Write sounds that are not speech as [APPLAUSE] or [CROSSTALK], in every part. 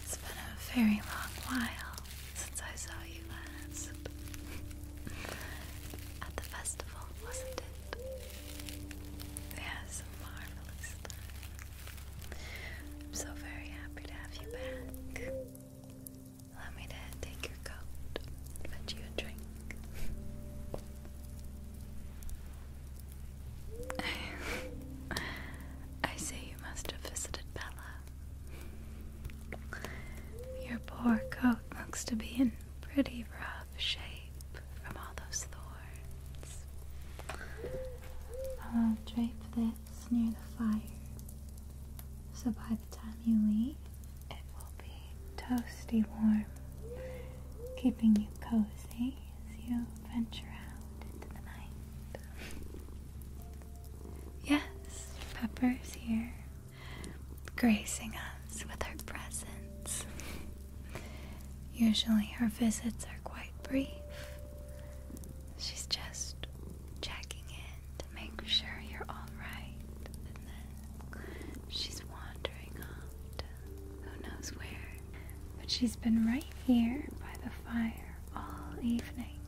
It's been a very long while since I saw you last. At the festival, wasn't it? Yes, marvelous I'm so very happy to have you back. Allow me to take your coat, fetch you a drink. I see you must have visited Bella. Your poor coat looks to be in pretty rough shape from all those thorns. I'll drape this it's near the fire. So by the time you leave, it will be toasty warm, keeping you cozy as you venture out into the night. yes, Pepper's here, gracing us with her presence. Usually her visits are quite brief, She's just checking in to make sure you're alright, then she's wandering off to who knows where. But she's been right here by the fire all evening.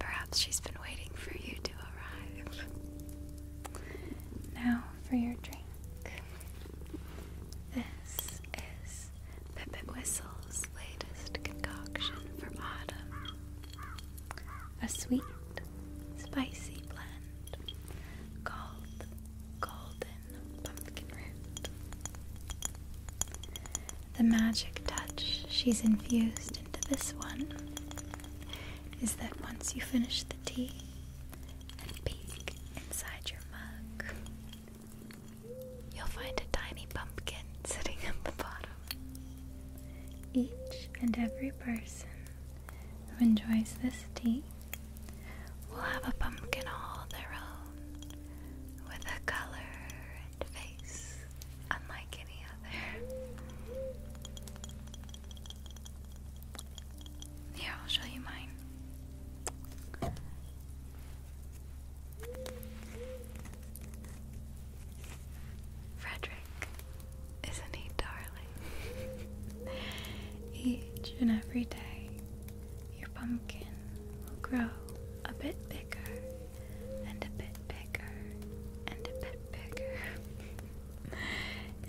Perhaps she's been waiting for you to arrive. Now for your drink. This is is Whistle's latest concoction for autumn. A sweet, spicy blend called Golden Pumpkin Root. The magic touch she's infused into this one is that once you finish the tea and peek inside your mug, You'll find a tiny pumpkin sitting at the bottom. Each and every person who enjoys this tea will have a pumpkin all their own, with a color and face unlike any other. Here, I'll show you mine. Frederick, isn't he darling? [LAUGHS] Each and every day, your pumpkin will grow a bit bigger, and a bit bigger, and a bit bigger,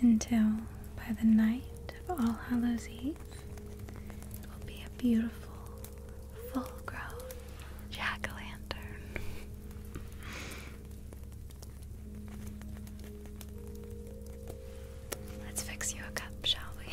[LAUGHS] until by the night of All Hallows Eve, it will be a beautiful full grown jack o' lantern. Let's fix you a cup, shall we?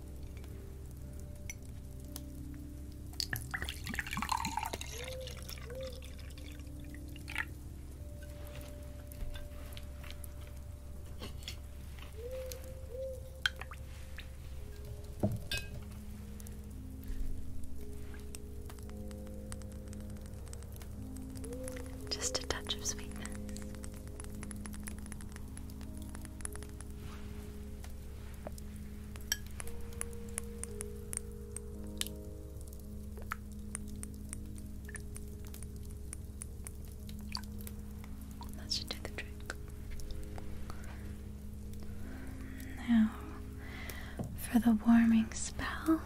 Just a touch of sweetness. That should do the trick. Now, for the warming spell.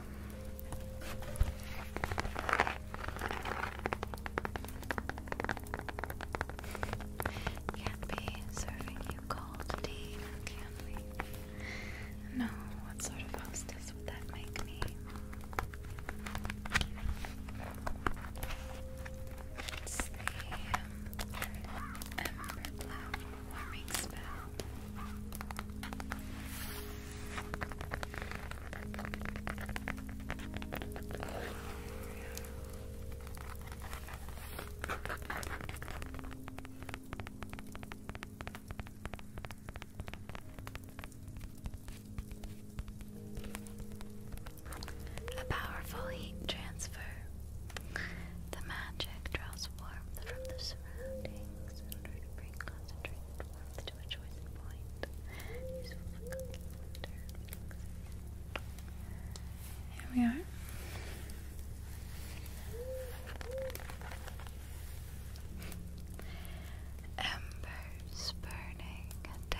Can't be serving you cold tea, can we? No, what sort of hostess would that make me? It's the Ember Cloud Warming Spell. A powerful heat transfer. The magic draws warmth from the surroundings in order to bring concentrated warmth to a chosen point. Here we are. Embers burning day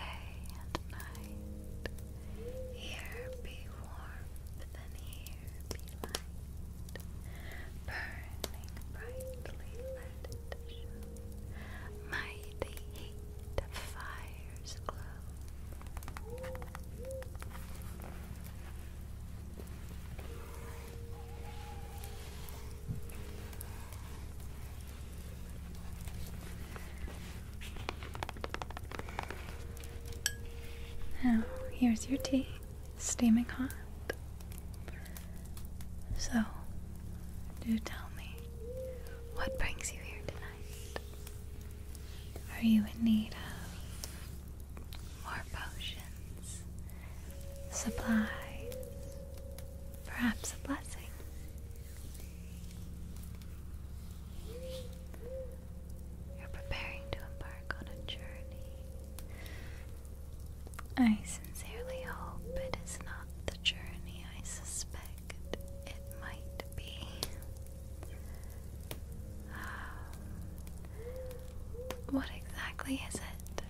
and night. Here be warmth and here be light. Burning brightly let it Mighty heat now, here's your tea, steaming hot. So, do tell me, what brings you here tonight? Are you in need of more potions, supplies, perhaps a blessing? You're preparing to embark on a journey. I sincerely hope it is not the journey I suspect it might be. Um, what exactly is it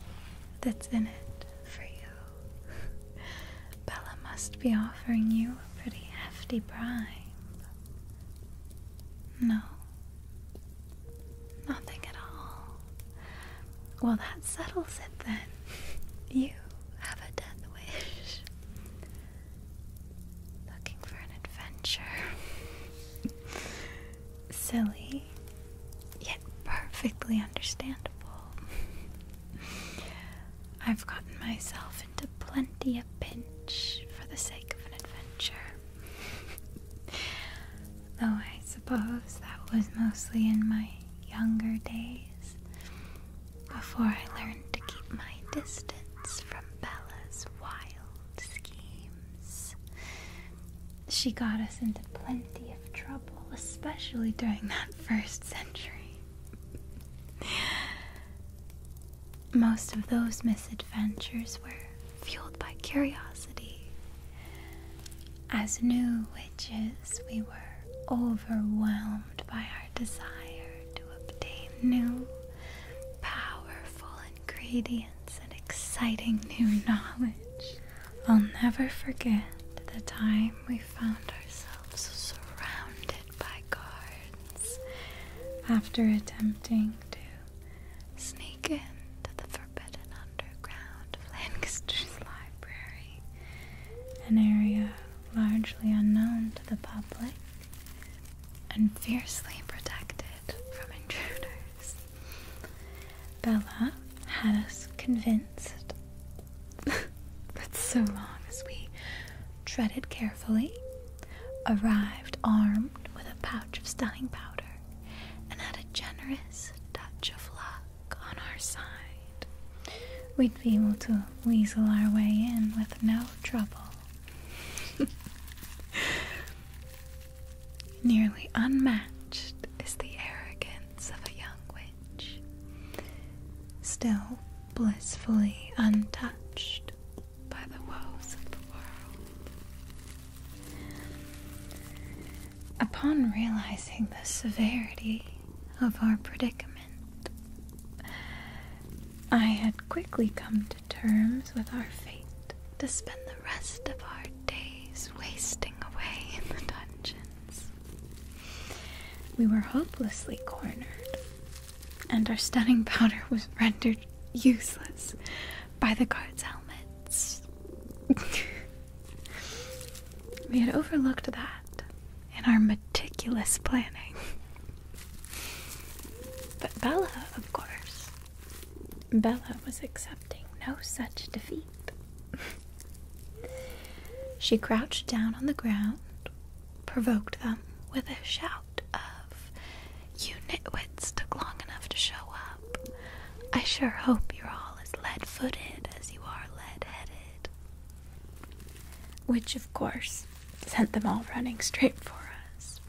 that's in it for you? Bella must be offering you a pretty hefty bribe. No, nothing at all. Well, that settles it then. [LAUGHS] You have a death wish. Looking for an adventure. [LAUGHS] Silly, yet perfectly understandable. [LAUGHS] I've gotten myself into plenty of pinch for the sake of an adventure. [LAUGHS] Though I suppose that was mostly in my younger days before I learned to keep my distance from Bella's wild schemes. She got us into plenty of trouble, especially during that first century. Most of those misadventures were fueled by curiosity. As new witches, we were overwhelmed by our desire to obtain new, powerful ingredients and exciting new knowledge. I'll never forget the time we found ourselves surrounded by guards after attempting to sneak into the forbidden underground of library, an area largely unknown to the public and fiercely protected from intruders. Bella had us convinced [LAUGHS] that so long as we treaded carefully, arrived armed with a pouch of stunning powder, and had a generous touch of luck on our side, we be able to weasel our way in with no trouble. [LAUGHS] Nearly unmatched is the arrogance of a young witch, still blissfully untouched by the woes of the world. Upon realizing the severity of our predicament, I had quickly come to terms with our fate to spend the rest of our days wasting away in the dungeons. We were hopelessly cornered, and our stunning powder was rendered useless by the guards' helmets. [LAUGHS] we had overlooked that in our meticulous planning. But Bella, of course, Bella was accepting no such defeat. [LAUGHS] she crouched down on the ground, provoked them with a shout of, You nitwits took long enough to show up. I sure hope you're all as lead footed as you are lead headed which of course sent them all running straight for us.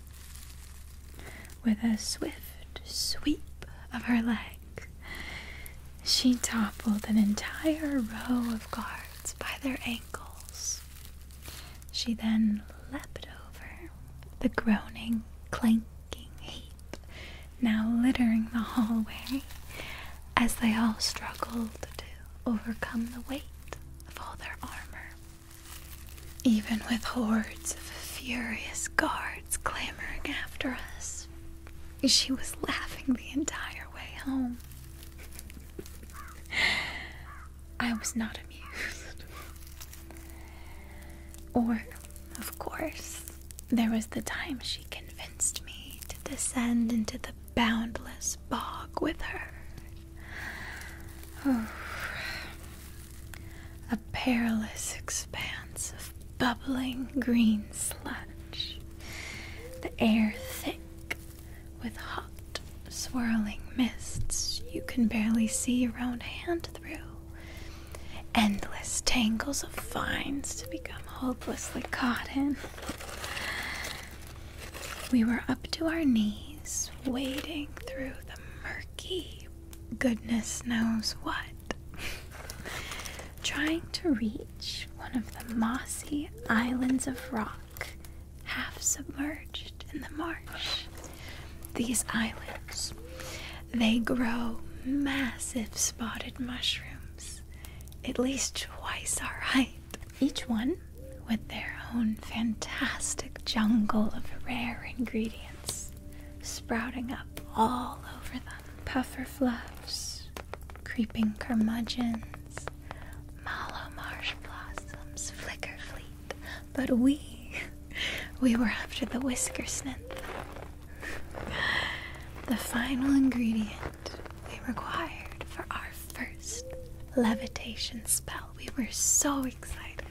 With a swift sweep of her leg, she toppled an entire row of guards by their ankles. She then leapt over the groaning, clanking heap now littering the hallway as they all struggled to overcome the weight of all their armor. Even with hordes of furious guards clamoring after us, she was laughing the entire way home. [LAUGHS] I was not amused. or, of course, there was the time she convinced me to descend into the boundless bog with her. Oh, a perilous expanse of bubbling green sludge, the air thick with hot, swirling mists you can barely see your own hand through. Endless tangles of vines to become hopelessly caught in. We were up to our knees, wading through the murky goodness knows what, [LAUGHS] trying to reach one of the mossy islands of rock half submerged in the marsh. These islands, they grow massive spotted mushrooms, at least twice our height. Each one with their own fantastic jungle of rare ingredients sprouting up all over them. Puffer fluffs, creeping curmudgeons, mallow marsh blossoms, flicker fleet. But we, we were after the whisker [LAUGHS] The final ingredient we required for our first levitation spell. We were so excited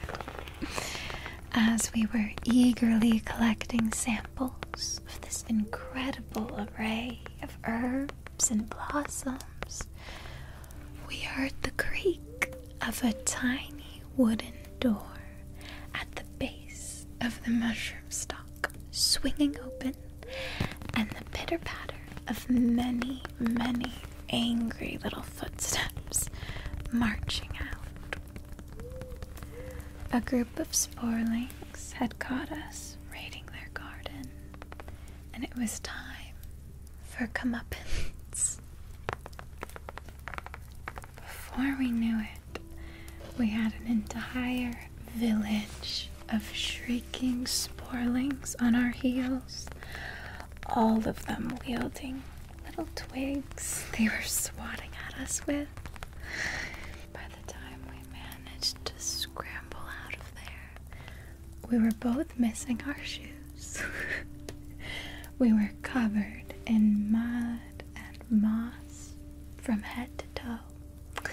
as we were eagerly collecting samples of this incredible array of herbs and blossoms. We heard the creak of a tiny wooden door at the base of the mushroom stalk swinging open and the pitter patter of many, many angry little footsteps marching out. A group of sporelings had caught us raiding their garden, and it was time for comeuppance. Before we knew it, we had an entire village of shrieking sporlings on our heels, all of them wielding little twigs they were swatting at us with. By the time we managed to scramble out of there, we were both missing our shoes. [LAUGHS] we were covered in mud and moss from head to toe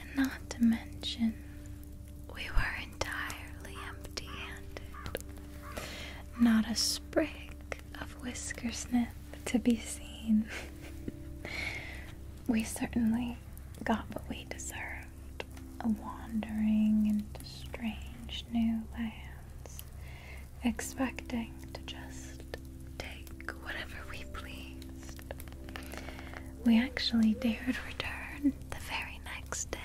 and not to mention, we were entirely empty handed. Not a sprig of whiskersniff to be seen. we certainly got what we deserved a wandering into strange new lands, expecting to just take whatever we pleased. We actually dared return the very next day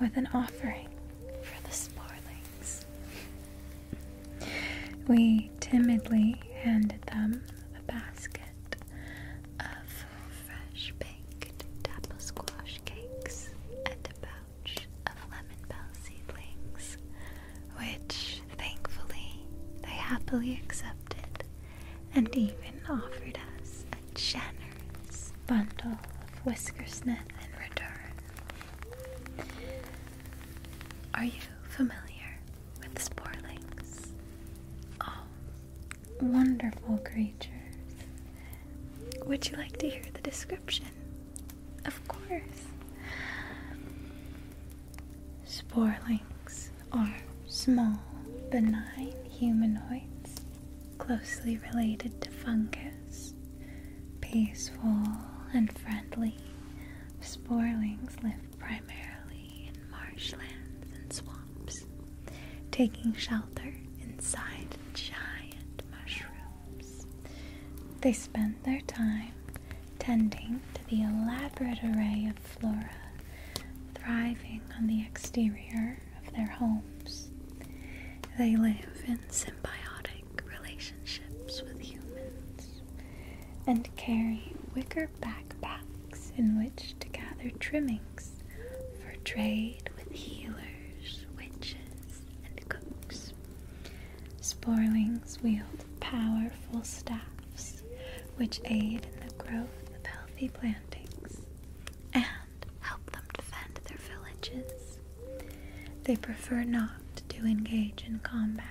with an offering for the Sporlings. We timidly handed them a basket of fresh baked dapple squash cakes and a pouch of lemon bell seedlings, which thankfully they happily accepted and even offered us a generous bundle of whiskersnip in return. Are you familiar with sporlings? Oh, wonderful creatures. Would you like to hear the description? Of course. Sporlings are small, benign humanoids closely related to fungus, peaceful and friendly. Sporelings live primarily in marshlands and swamps, taking shelter inside giant mushrooms. They spend their time tending to the elaborate array of flora thriving on the exterior of their homes. They live in symbiotic relationships with humans and carry wicker backpacks in which to gather trimmings for trade with healers, witches, and cooks. Sporlings wield powerful staffs which aid in the growth of healthy plantings and help them defend their villages. They prefer not to engage in combat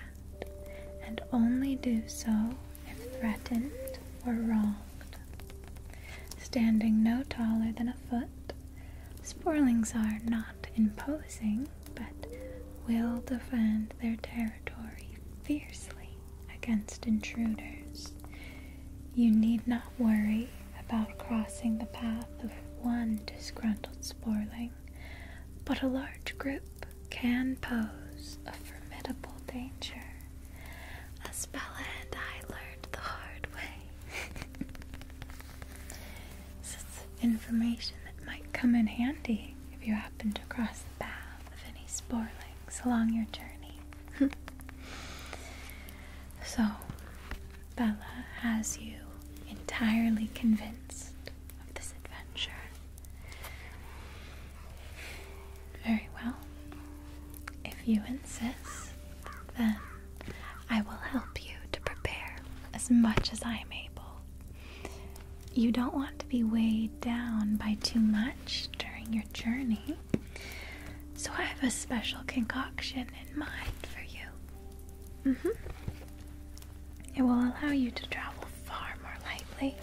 and only do so if threatened or wronged. Standing no taller than a foot, sporlings are not imposing but will defend their territory fiercely against intruders. You need not worry about crossing the path of one disgruntled sporling, but a large group can pose a formidable danger. As Bella and I learned the hard way. [LAUGHS] this is information that might come in handy if you happen to cross the path of any sporlings along your journey. [LAUGHS] so, Bella has you entirely convinced of this adventure. Very well. If you insist, then I will help you to prepare as much as I am able. You don't want to be weighed down by too much during your journey. So I have a special concoction in mind for you. Mm-hmm. It will allow you to travel far more lightly.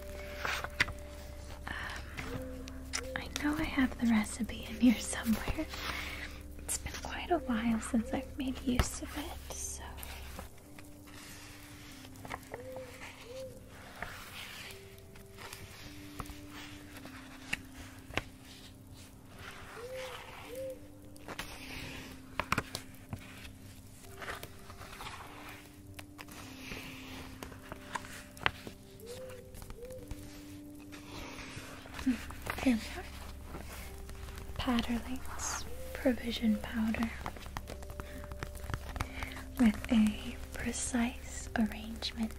Um, I know I have the recipe in here somewhere. It's been quite a while since I've made use of it, so. Here we Provision Powder with a precise arrangement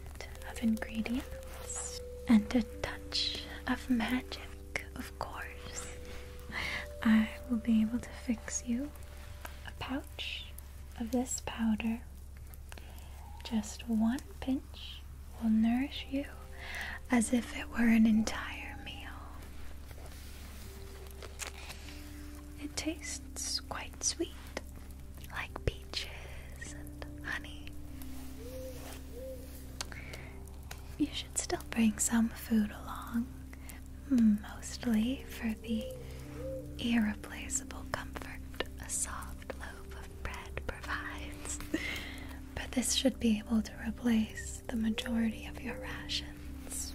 of ingredients and a touch of magic, of course, I will be able to fix you a pouch of this powder. Just one pinch will nourish you as if it were an entire meal. It tastes quite sweet, like peaches and honey. You should still bring some food along, mostly for the irreplaceable comfort a soft loaf of bread provides. [LAUGHS] but this should be able to replace the majority of your rations,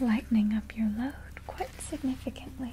lightening up your load quite significantly.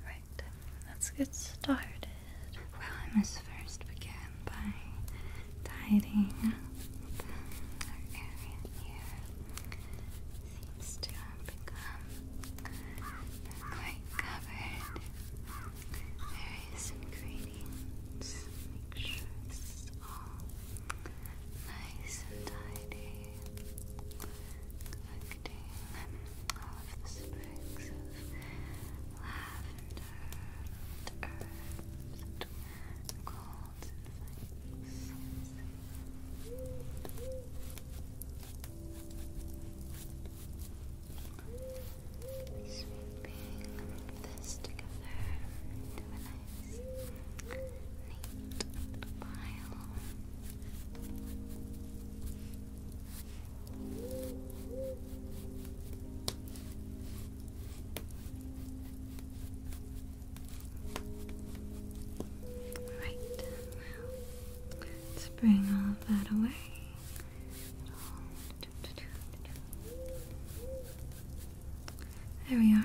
Alright, let's get started. Well, I must first begin by tidying up our area here. Seems to have become quite covered. Various ingredients. Make sure this is all nice and tidy collecting all of the sprigs of lavender and herbs and golds and flakes. Sweeping this together nice, neat pile. Right, let's bring all that away. There we are.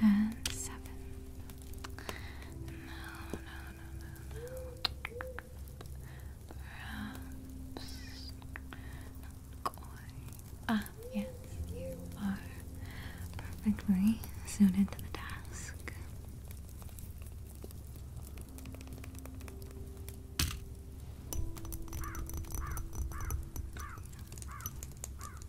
and seven. No, no, no, no, no. Perhaps not Ah, yes, you are perfectly suited to the task.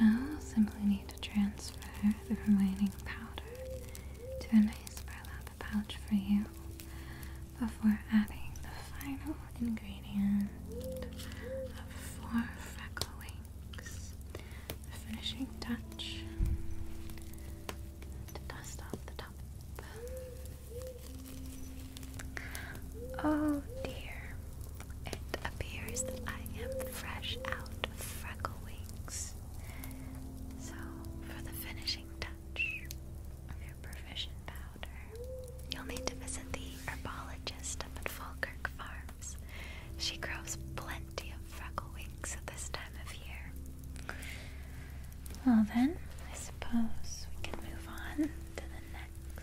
I'll simply need to transfer the remaining powder to a nice burlap pouch for you before adding the final ingredient of four freckle wings, the finishing touch to dust off the top. Oh dear, it appears that I am fresh out of freckle So, for the finishing touch of your provision powder, you'll need to visit the herbologist up at Falkirk Farms. She grows plenty of freckle at this time of year. Well, then, I suppose we can move on to the next.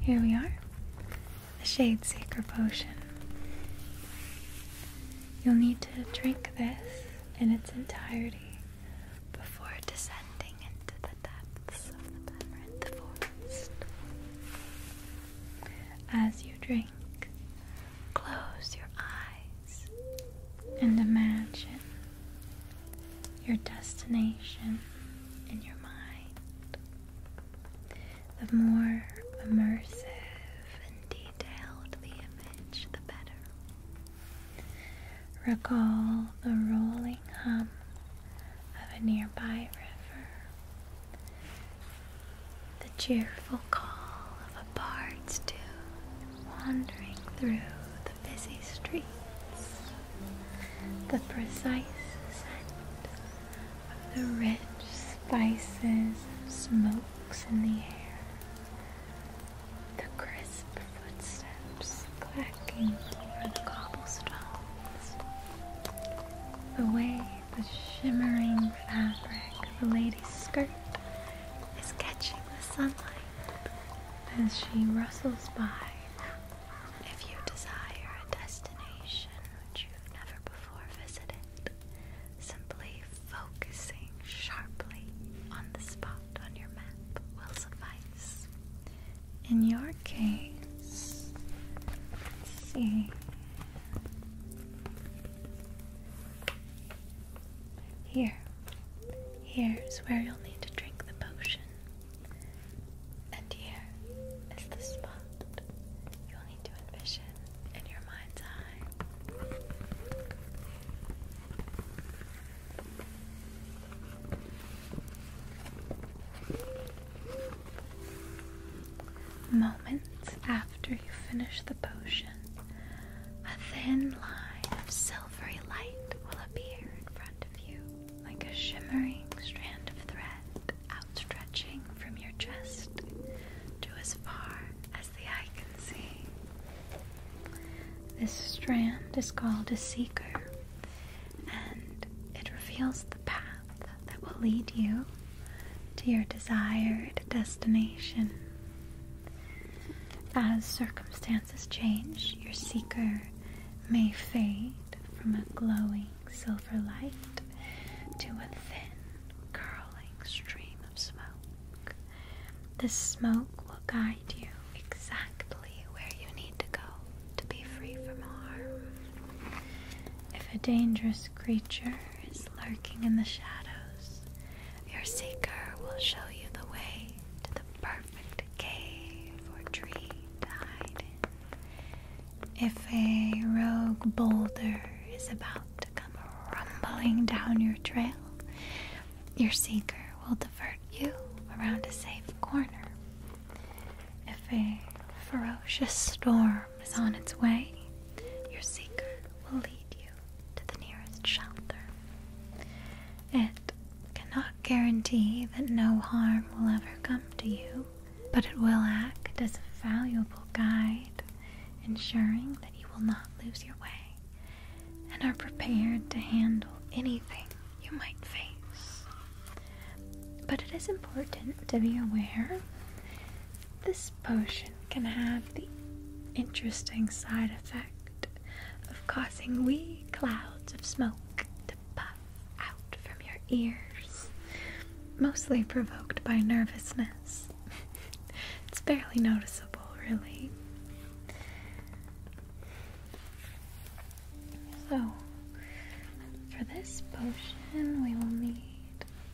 Here we are. The Shade Seeker Potion. You'll need to drink this in its entirety before descending into the depths of the Tamarind Forest. As you drink, close your eyes and imagine your destination in your mind. The more immersive and detailed the image, the better. Recall the rolling hum of a nearby river, the cheerful call of a bird's tune wandering through the busy streets, the precise scent of the rich spices smokes in the air, the crisp footsteps clacking over the cobblestones, the way the shimmering fabric of a lady's skirt is catching the sunlight as she rustles by if you desire a destination which you've never before visited, simply focusing sharply on the spot on your map will suffice. In your case, see. Here. Here's where you'll need to drink the potion. And here is the spot you'll need to envision in your mind's eye. Moments after you finish the potion, a thin line of silvery light will appear in front of you like a shimmering strand of thread outstretching from your chest to as far as the eye can see. This strand is called a seeker, and it reveals the path that will lead you to your desired destination. As circumstances change, your seeker may fade from a glowing silver light to a thin, curling stream of smoke. This smoke will guide you exactly where you need to go to be free from harm. If a dangerous creature is lurking in the shadows, your seeker will show you the way to the perfect. If a rogue boulder is about to come rumbling down your trail, your seeker will divert you around a safe corner. If a ferocious storm is on its way, your seeker will lead you to the nearest shelter. It cannot guarantee that no harm will ever come to you, but it will act as a valuable guide, ensuring that you will not lose your way and are prepared to handle anything you might face. But it is important to be aware this potion can have the interesting side effect of causing wee clouds of smoke puff out from your ears, mostly provoked by nervousness. [LAUGHS] it's barely noticeable, really. So, for this potion, we will need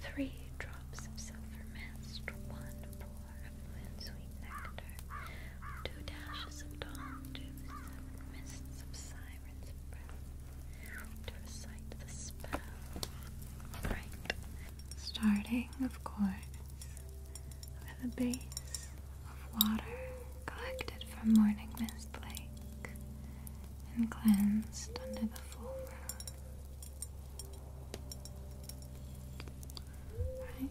three drops of silver mist, one pour of moon sweet nectar, two dashes of dawn dew, seven mists of to recite the spell. Right. Starting, of course, with a base of water collected from Morning Mist Lake and cleansed under the full moon. Right.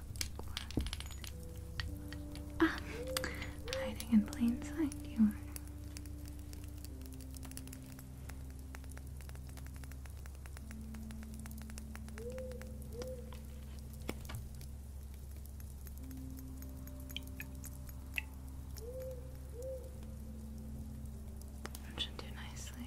Ah, hiding in plain sight, you are. should do nicely.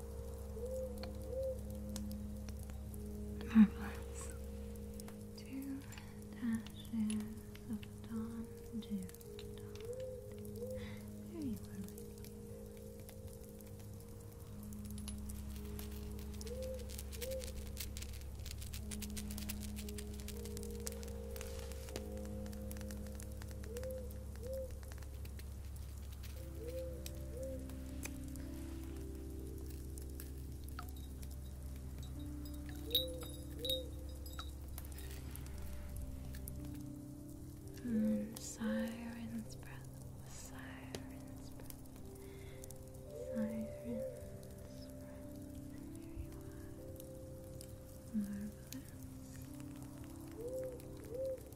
Marvelous. Two dashes of dawn to There you are. And siren's breath, siren's breath, siren's breath, there you are. Marvelous.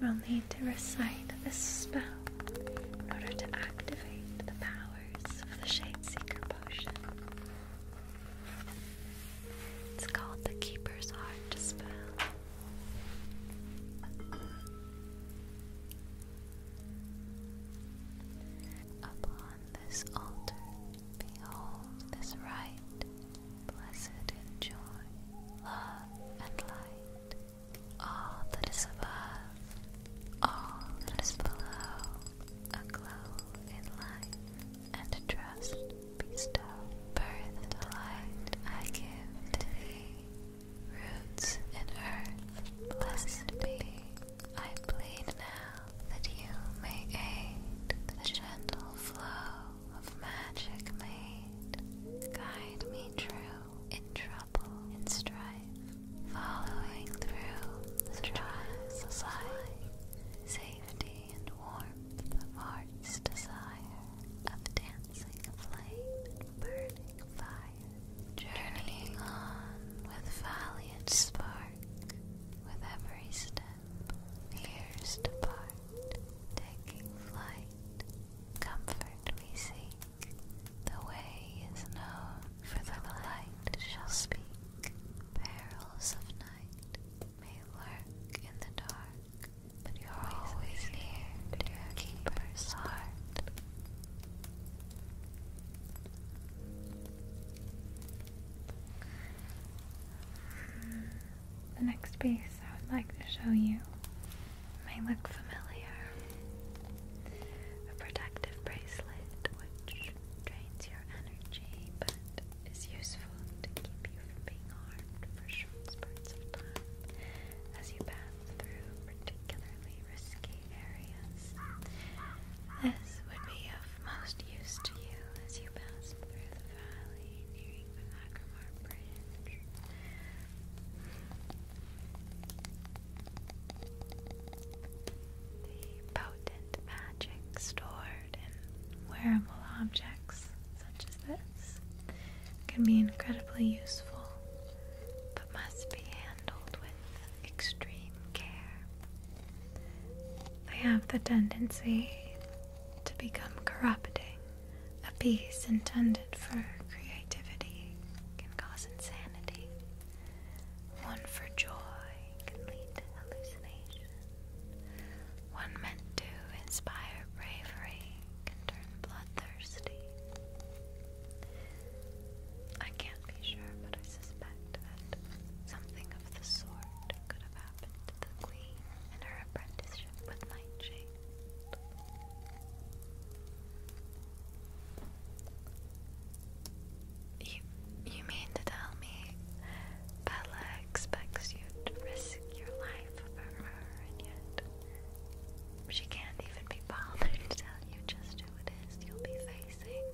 then we'll need to recite this spell in order to activate the powers of the Shade Seeker potion. It's called the Keeper's Heart spell. Upon this altar, behold this right, blessed in joy, love, and light. All that is above, all that is below, aglow in light, and trust bestow. Birth the light I give to thee, roots in earth, blessed be. I plead now that you may aid the gentle flow of magic made. Guide me true in trouble and strife, following through the trials of life, safety and warmth of heart's desire, of dancing flame burning fire, journeying on with valiant spark with every step, ears depart, taking flight, comfort we seek. The way is known, for the light shall speak. Perils of night may lurk in the dark, but you're always near to your keeper's heart. The next piece I would like to show you may look familiar. A protective bracelet which drains your energy but is useful to keep you from being harmed for short spurts of time as you pass through particularly risky areas. This would be of most use to you as you pass through the valley nearing the Lacrimar branch. The potent magic stored in wearable objects such as this can be incredibly useful, but must be handled handled with extreme care. they have the tendency to become corrupting. A piece intended for creativity can cause insanity. One for joy can lead to hallucination. One meant to inspire bravery can turn bloodthirsty. I can't be sure, but I suspect that something of the sort could have happened to the queen in her apprenticeship with Nightshade. You, you mean to tell me Bella expects you to risk your life for her, and yet she can't even be bothered to tell you just who it is you'll be facing?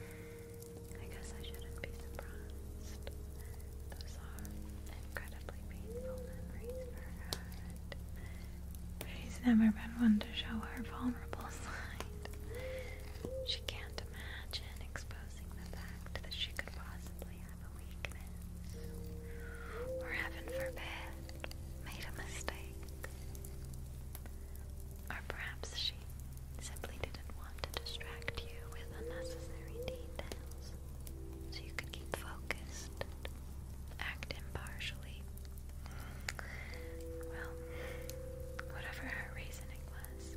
I guess I shouldn't be surprised. Those are incredibly painful memories for her. And she's never been one to show her vulnerable [LAUGHS] side. She can't imagine exposing the fact that she could possibly have a weakness. Or heaven forbid, made a mistake. Or perhaps she simply didn't want to distract you with unnecessary details so you could keep focused, act impartially. Well, whatever her reasoning was,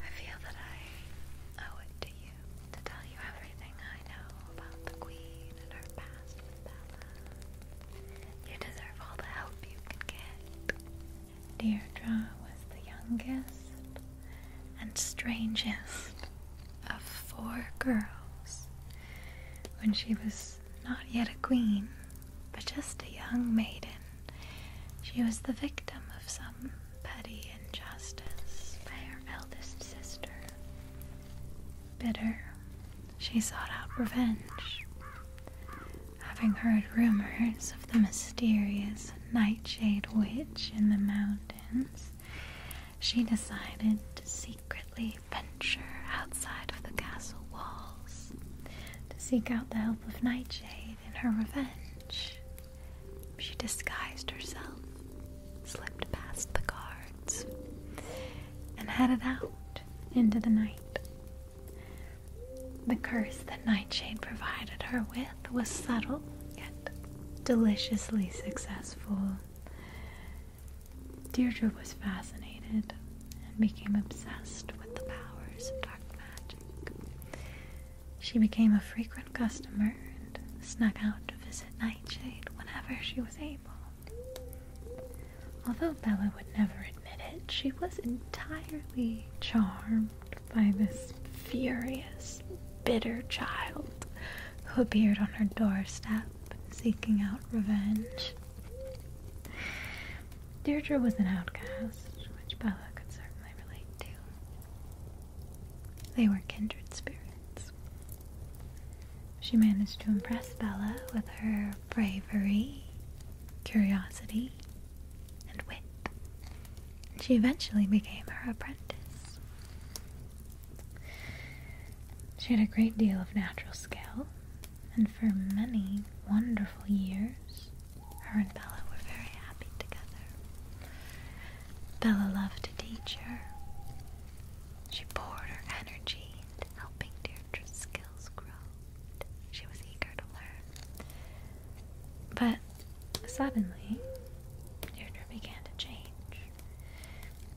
I feel that I owe it to you to tell you everything I know about the Queen and her past with Bella. You deserve all the help you can get. Deirdre was the youngest and strangest of four girls when she was not yet a queen, but just a young maiden. She was the victim of some petty injustice by her eldest sister. Bitter, she sought out revenge. Having heard rumors of the mysterious Nightshade Witch in the mountains, she decided to secretly venture outside of the castle walls to seek out the help of Nightshade in her revenge. She disguised herself, slipped past the guards, and headed out into the night. The curse that Nightshade provided her with was subtle yet deliciously successful. Deirdre was fascinated and became obsessed with the powers of dark magic. She became a frequent customer and snuck out to visit Nightshade whenever she was able. Although Bella would never admit it, she was entirely charmed by this furious, bitter child who appeared on her doorstep seeking out revenge. Deirdre was an outcast, which Bella could certainly relate to. They were kindred spirits. She managed to impress Bella with her bravery, curiosity, and wit. She eventually became her apprentice. She had a great deal of natural skill, and for many wonderful years, her and Bella were very happy together. Bella loved to teach her. She poured her energy into helping dear her skills growed. She was eager to learn. But suddenly, Deirdre began to change.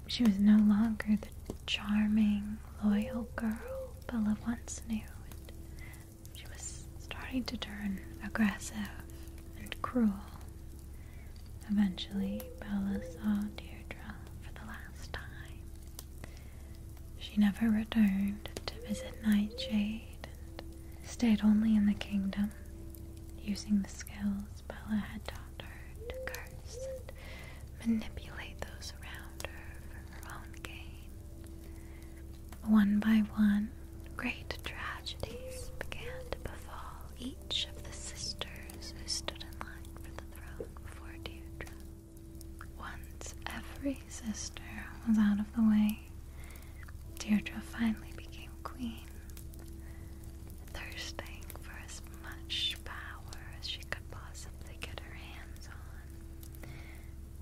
She was no longer the charming, loyal girl Bella once knew. She was starting to turn aggressive and cruel. Eventually, Bella saw Deirdre for the last time she never returned to visit Nightshade and stayed only in the kingdom, using the skills Bella had taught her to curse and manipulate those around her for her own gain. One by one, great tragedies began to befall each of the sisters who stood in line for the throne before Deirdre. Once every sister was out of the way, Deirdre finally became queen, thirsting for as much power as she could possibly get her hands on.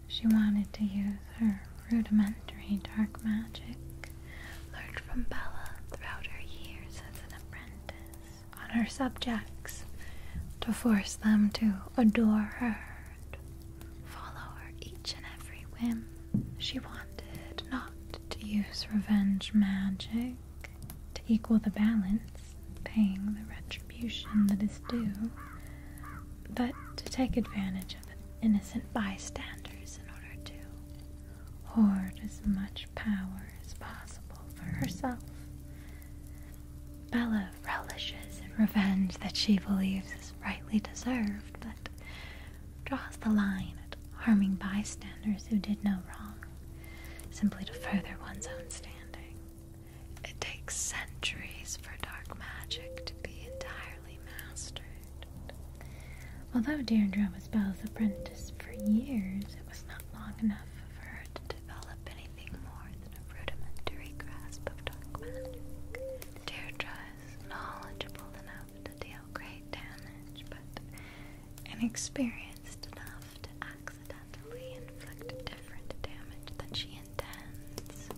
She wanted to use her rudimentary dark magic learned from Bella throughout her years as an apprentice on her subjects to force them to adore her and follow her each and every whim. She wanted not to use revenge magic to equal the balance, paying the retribution that is due, but to take advantage of innocent bystanders in order to hoard as much power as possible for herself. Bella relishes in revenge that she believes is rightly deserved, but draws the line at harming bystanders who did no wrong simply to further one's own standing. It takes centuries for dark magic to be entirely mastered. Although Deirdre was Belle's apprentice for years, it was not long enough for her to develop any more than a rudimentary grasp of dark magic. Deirdre is knowledgeable enough to deal great damage, but inexperienced enough to accidentally inflict different damage than she intends.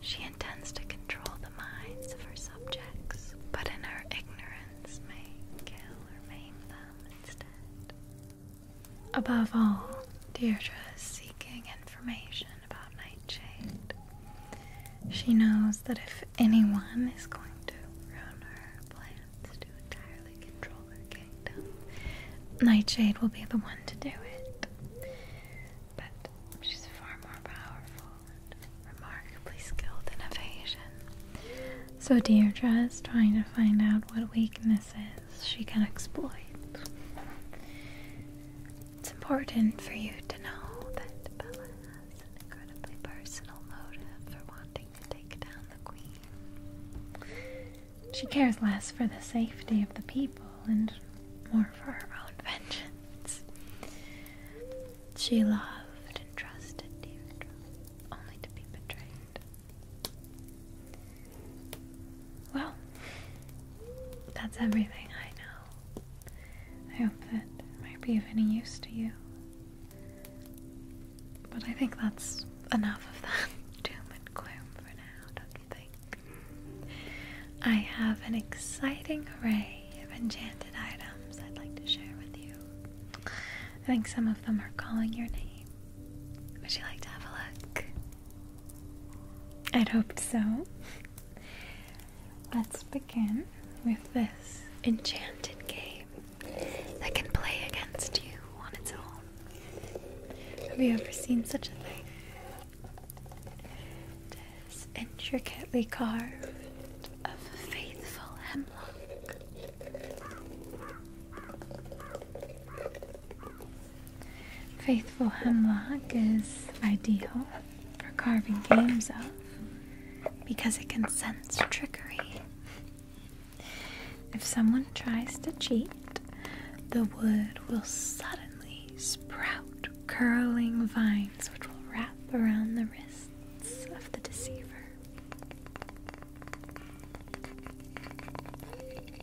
She intends to control the minds of her subjects, but in her ignorance may kill or maim them instead. Above all, Deirdre is seeking information about Nightshade. She knows that if anyone is going to ruin her plans to entirely control her kingdom, Nightshade will be the one to do it. But she's far more powerful and remarkably skilled in evasion. So Deirdre is trying to find out what weaknesses she can exploit. It's important for you to know that Bella has an incredibly personal motive for wanting to take down the Queen. She cares less for the safety of the people and more for her own [LAUGHS] vengeance. She loved and trusted you, only to be betrayed. Well, that's everything I know. I hope that might be of any use to you. But I think that's enough of that [LAUGHS] doom and gloom for now, don't you think? I have an exciting array of enchanted items I'd like to share with you. I think some of them are calling your name. Would you like to have a look? I'd hoped so. Let's begin with this enchanted game that can play against you on its own. Have you ever seen such a thing? It is intricately carved of faithful hemlock. Faithful hemlock is ideal for carving games of because it can sense trickery. If someone tries to cheat, the wood will suddenly sprout curling vines which will wrap around the wrists of the deceiver.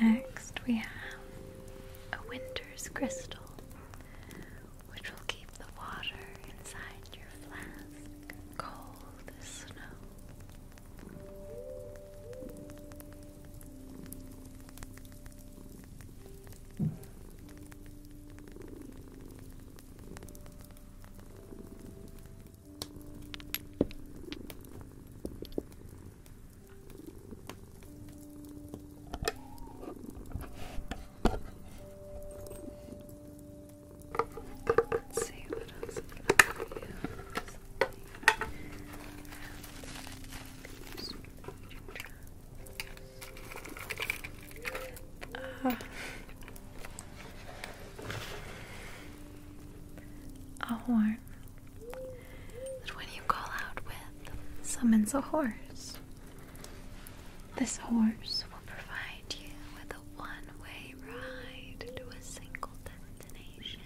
Next, we have a winter's crystal, which will keep the water inside your flask cold as snow. Let's see what else I can do. Something. And then I can use the a horn that when you call out with summons a horse. This horse will provide you with a one way ride to a single destination,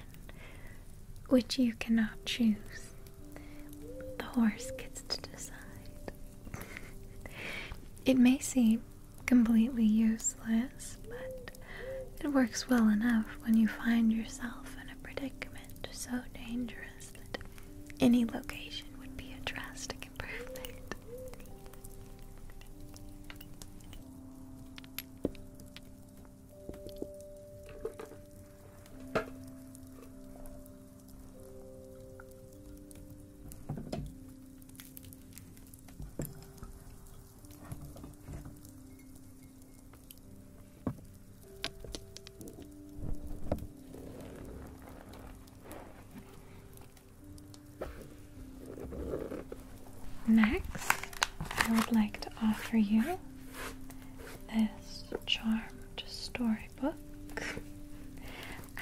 which you cannot choose the horse gets to decide. it may seem completely useless, but it works well enough when you find yourself in a predicament so dangerous that any location would be a drastic improvement. Next, I would like to offer you this charmed story book.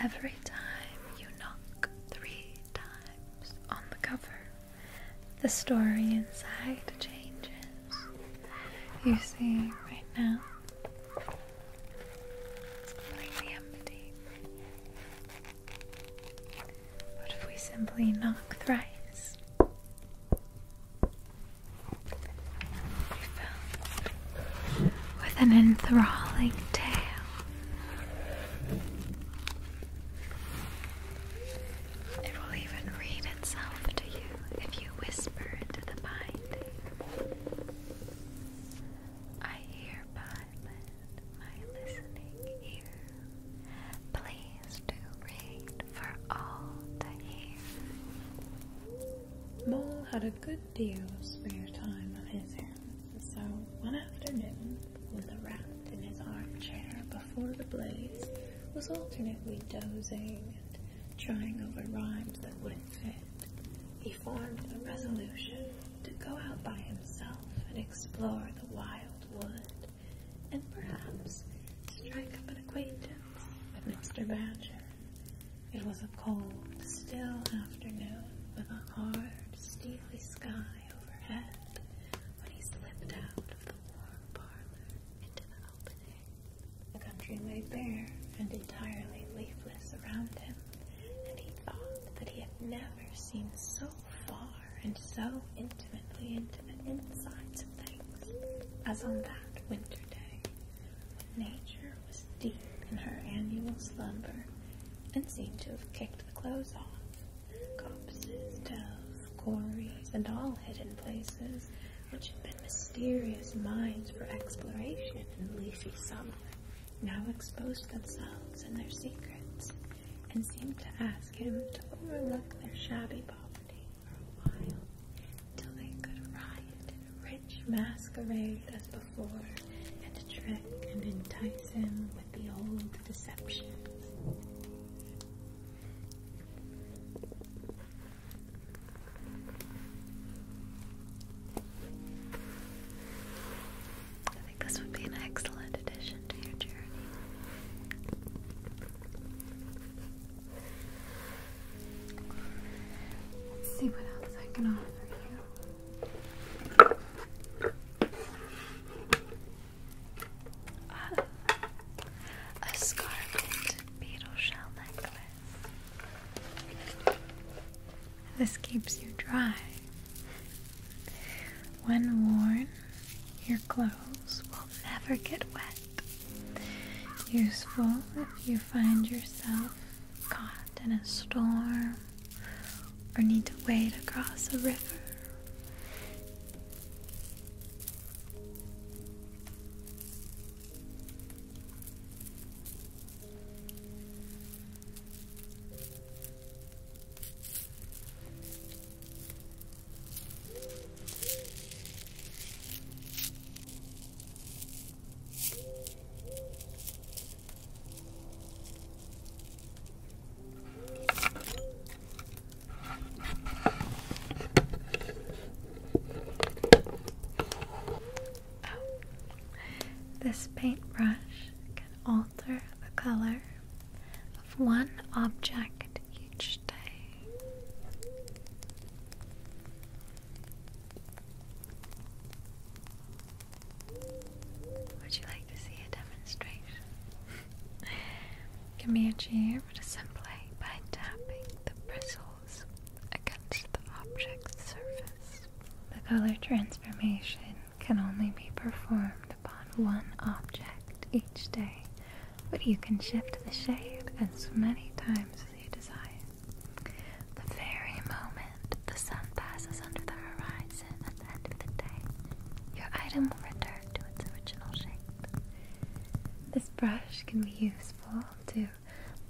Every time you knock three times on the cover, the story inside changes. You see, right now, it's completely empty. What if we simply knock thrice? with an enthralling tale. It will even read itself to you if you whisper into the binding. I hereby lend my listening ear. Please do read for all to hear. Mull had a a good deal of spare time on his hands, so one afternoon, with a wrap in his armchair before the blaze, was alternately dozing and trying over rhymes that wouldn't fit, he formed the resolution to go out by himself and explore the wild wood, and perhaps strike up an acquaintance with Mr. Badger. It was a cold, still afternoon with a hard, steely sky overhead when he slipped out of the warm parlor into the open The country lay bare and entirely leafless around him, and he thought that he had never seen so far and so intimately into the insides of things as on that winter day Nature was deep in her annual slumber and seemed to have kicked the clothes off. Copses, dells, quarries, and all hidden places which had been mysterious mines for exploration in leafy summer now exposed themselves and their secrets and seemed to ask him to overlook their shabby poverty for a while till they could riot rich masquerade as before, and trick and entice him with the old deceptions. I think this would be an excellent addition to your journey. Let's see what else I can offer you. a scarlet beetle shell necklace. This keeps you dry. When worn, your clothes will never get wet. Useful if you find yourself caught in a storm or need to wade across a river. Oh. this paintbrush can alter the color of one object each day. Would you like to see a demonstration? Can be achieved simply by tapping the bristles against the object's surface. The color transformation can only be performed upon one object each day, but you can shift the shade as many times the very moment the sun passes under the horizon at the end of the day, your item will to its original shape. This brush can be useful to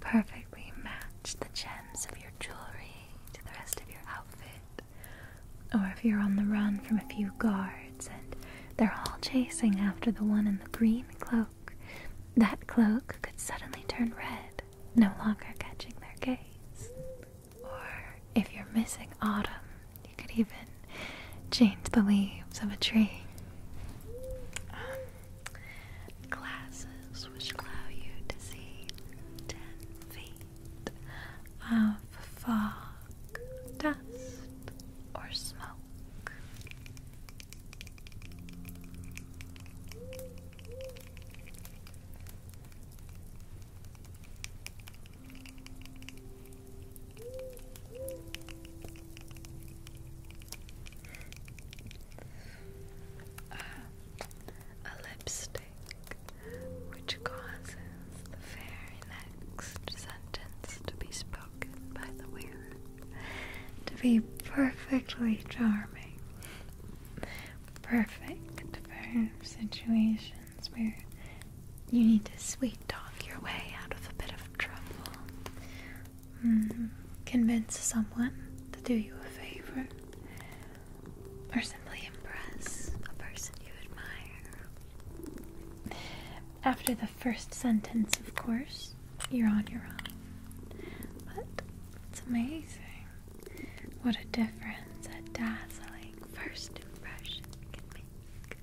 perfectly match the gems of your jewelry to the rest of your outfit. Or if you're on the run from a few guards and they're all chasing after the one in the green cloak, that cloak could suddenly turn red no longer catching their gaze. Or if you're missing autumn, you could even change the leaves of a tree. Um, glasses which allow you to see 10 feet of fog, dust, or smoke a lipstick which causes the very next sentence to be spoken by the wearer to be perfectly charming perfect for situations where you need to sweet talk your way out of a bit of trouble. Mm-hmm. convince someone to do you a favor, or simply impress a person you admire. After the first sentence, of course, you're on your own. But it's amazing what a difference a dazzling first impression can make.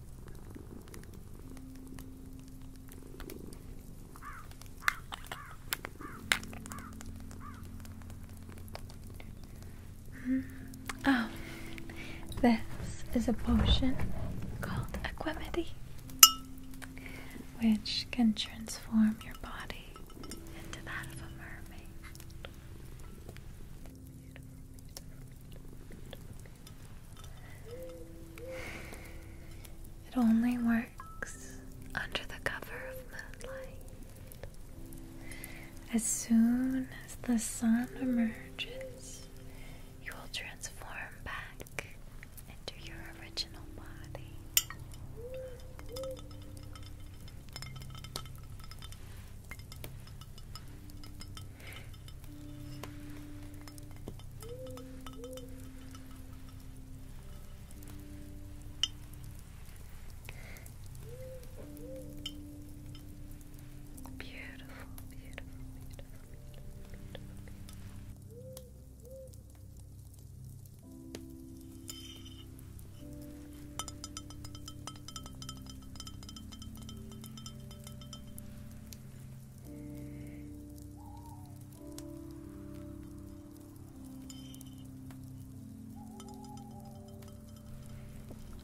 Hmm. Oh, this is a potion called Equanimity, which can transform your body into that of a mermaid. It only works under the cover of moonlight. As soon as the sun emerges, you will transform back into your original body. beautiful, beautiful, beautiful, beautiful.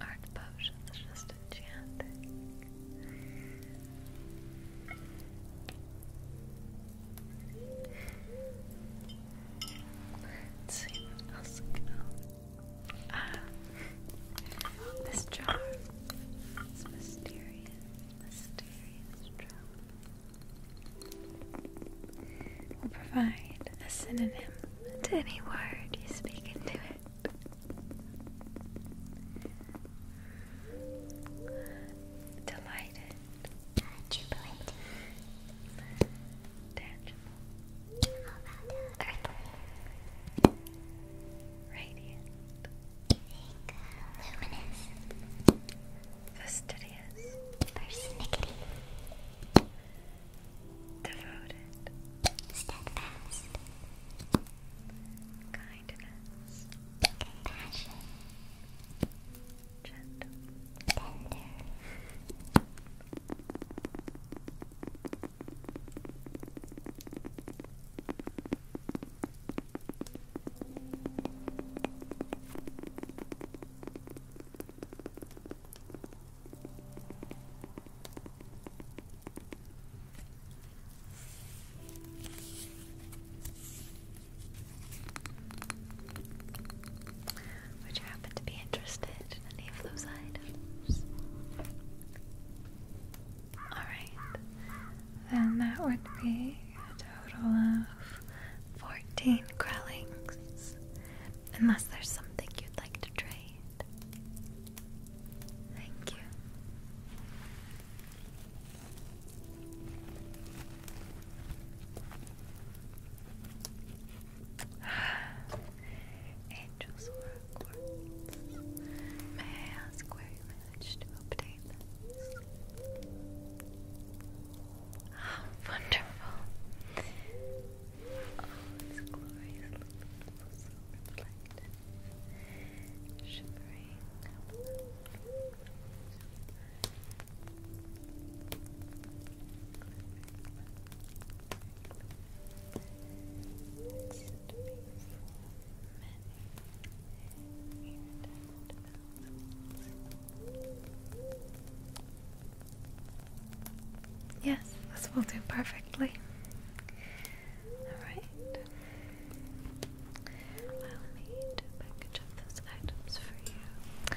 Art potion is just enchanting. Let's see what else we go. Ah, this jar. It's mysterious, mysterious jar. Will provide a synonym to any word you speak into it. Delighted Triple H. Tangible. How Radiant. luminous. Fastidious. Persnickety. Devoted. Steadfast. Kindness. Compassion gentle, tender. Would you happen to be interested in any of those items? Alright, then that would be a total of 14 Krellings. Unless there's something you'd like to trade. Thank you. [SIGHS] Angels were courts. May I ask where you managed to obtain this? [GASPS] Ah, wonderful. Oh, it's glorious Shimmering. Yes, this will do perfectly. Alright. Allow me to package those items for you.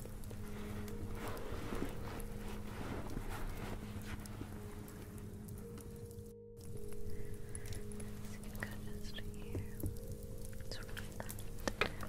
go just here. Let's roll that down Good.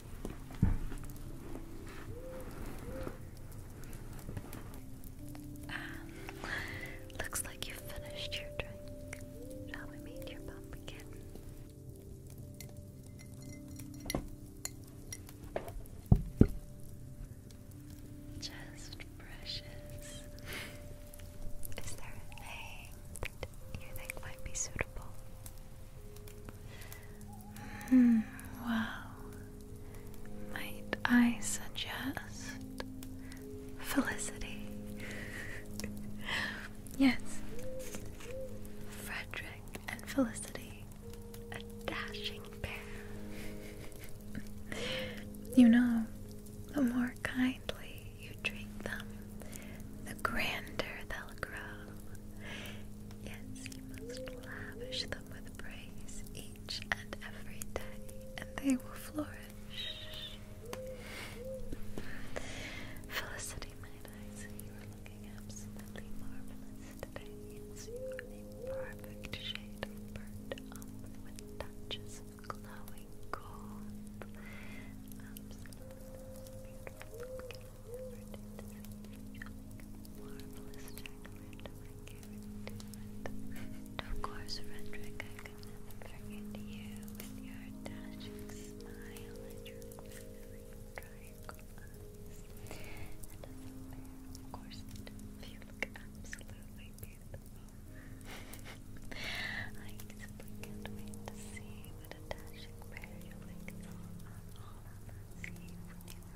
looks like you finished your drink. Shall we meet your pumpkin? Just precious. Is there a you think might be suitable? Hmm, well, might I suggest Felicity? [LAUGHS] yes, Frederick and Felicity, a dashing pair. you know, the more kindly you treat them, the grander they'll grow. Yes, must lavish them with praise each and every day, and they will flourish. Felicity, my eyes, you are looking absolutely marvelous today. Yes, you perfect shade of burnt with touches of glowing gold. Marvelous Of course, Redrick, I could never forget you with your dashing smile and your glittering triangle of course, you look absolutely beautiful. I simply can't wait to see what a dashing pair you make all, all of when you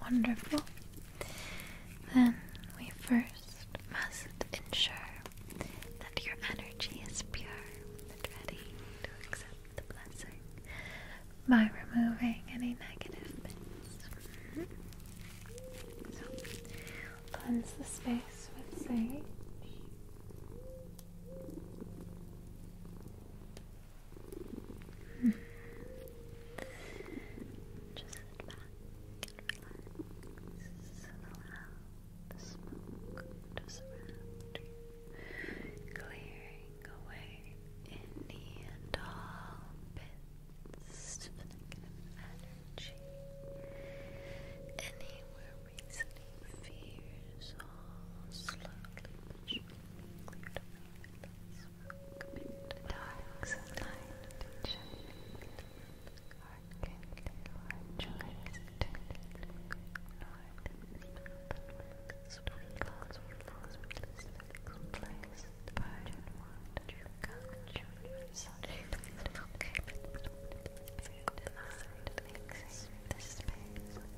Wonderful. Then we first must ensure that your energy is pure and ready to accept the blessing by removing any negative bits. So, cleanse the space with sage. Just sit back and relax and the smoke to you, clearing away any and all bits of energy, any where reasoning fears all slowly cleared Welcome into the dark and shine. Hearken to our choice to north and south. Sweet clouds will float with place. Virgin such okay. the space with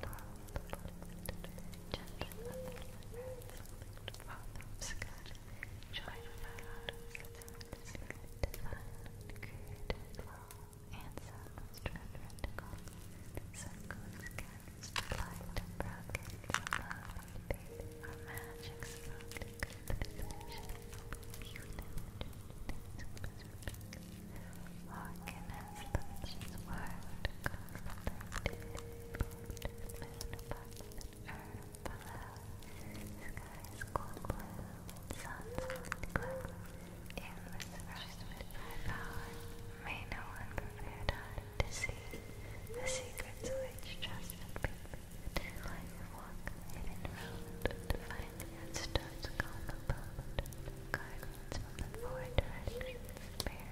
all the Gentle and earth the Father of sky, divine, created law, and sounds transcendental, circles, cats, light, and brackets, love, and faith, our magic, slowly, good, possession, human, Walking as the word, contemplative, moon above and earth below. Skies cool blue and sun's glow. In this first midnight hour, may no one prepare time to see the secrets which trusted people to life walk hidden round to find the answers called the boat. from the four directions bear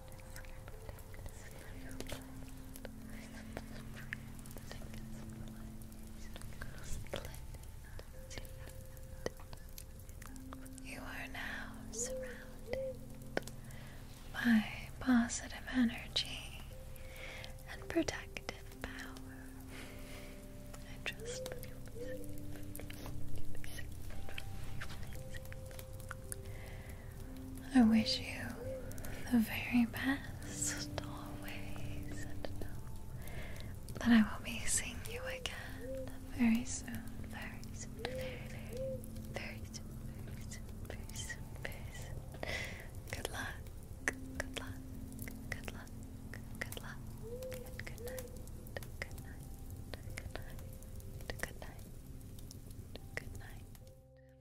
you are now surrounded by positive energy and protective power. I wish you the very best always and know that I will be seeing you again very soon, very soon, very, very, very soon, very soon, very soon, very soon. Good luck, good luck, good luck, good luck, and good night, good night, good night, good night, good night.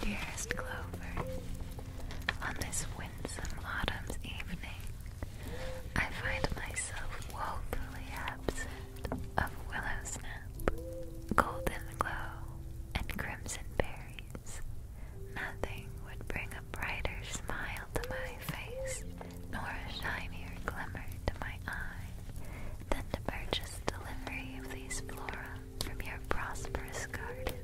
Dearest Clover, on this winsome autumn's evening, I find myself woefully absent of willow snap, golden glow, and crimson berries. Nothing would bring a brighter smile to my face, nor a shinier glimmer to my eye, than the purchase delivery of these flora from your prosperous garden.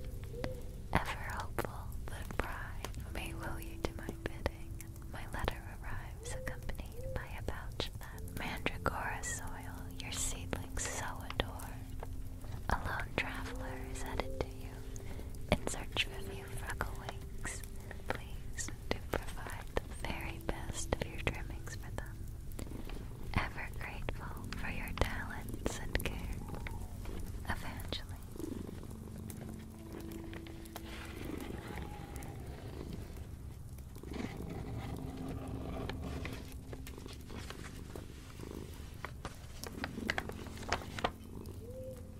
Ever hopeful that pride may will you to my bidding, my letter arrives accompanied by a pouch that mandragora soil your seedlings so adore. A lone traveler is headed to you search for few freckle wigs. Please do provide the very best of your trimmings for them. Ever grateful for your talents and care, Evangeline.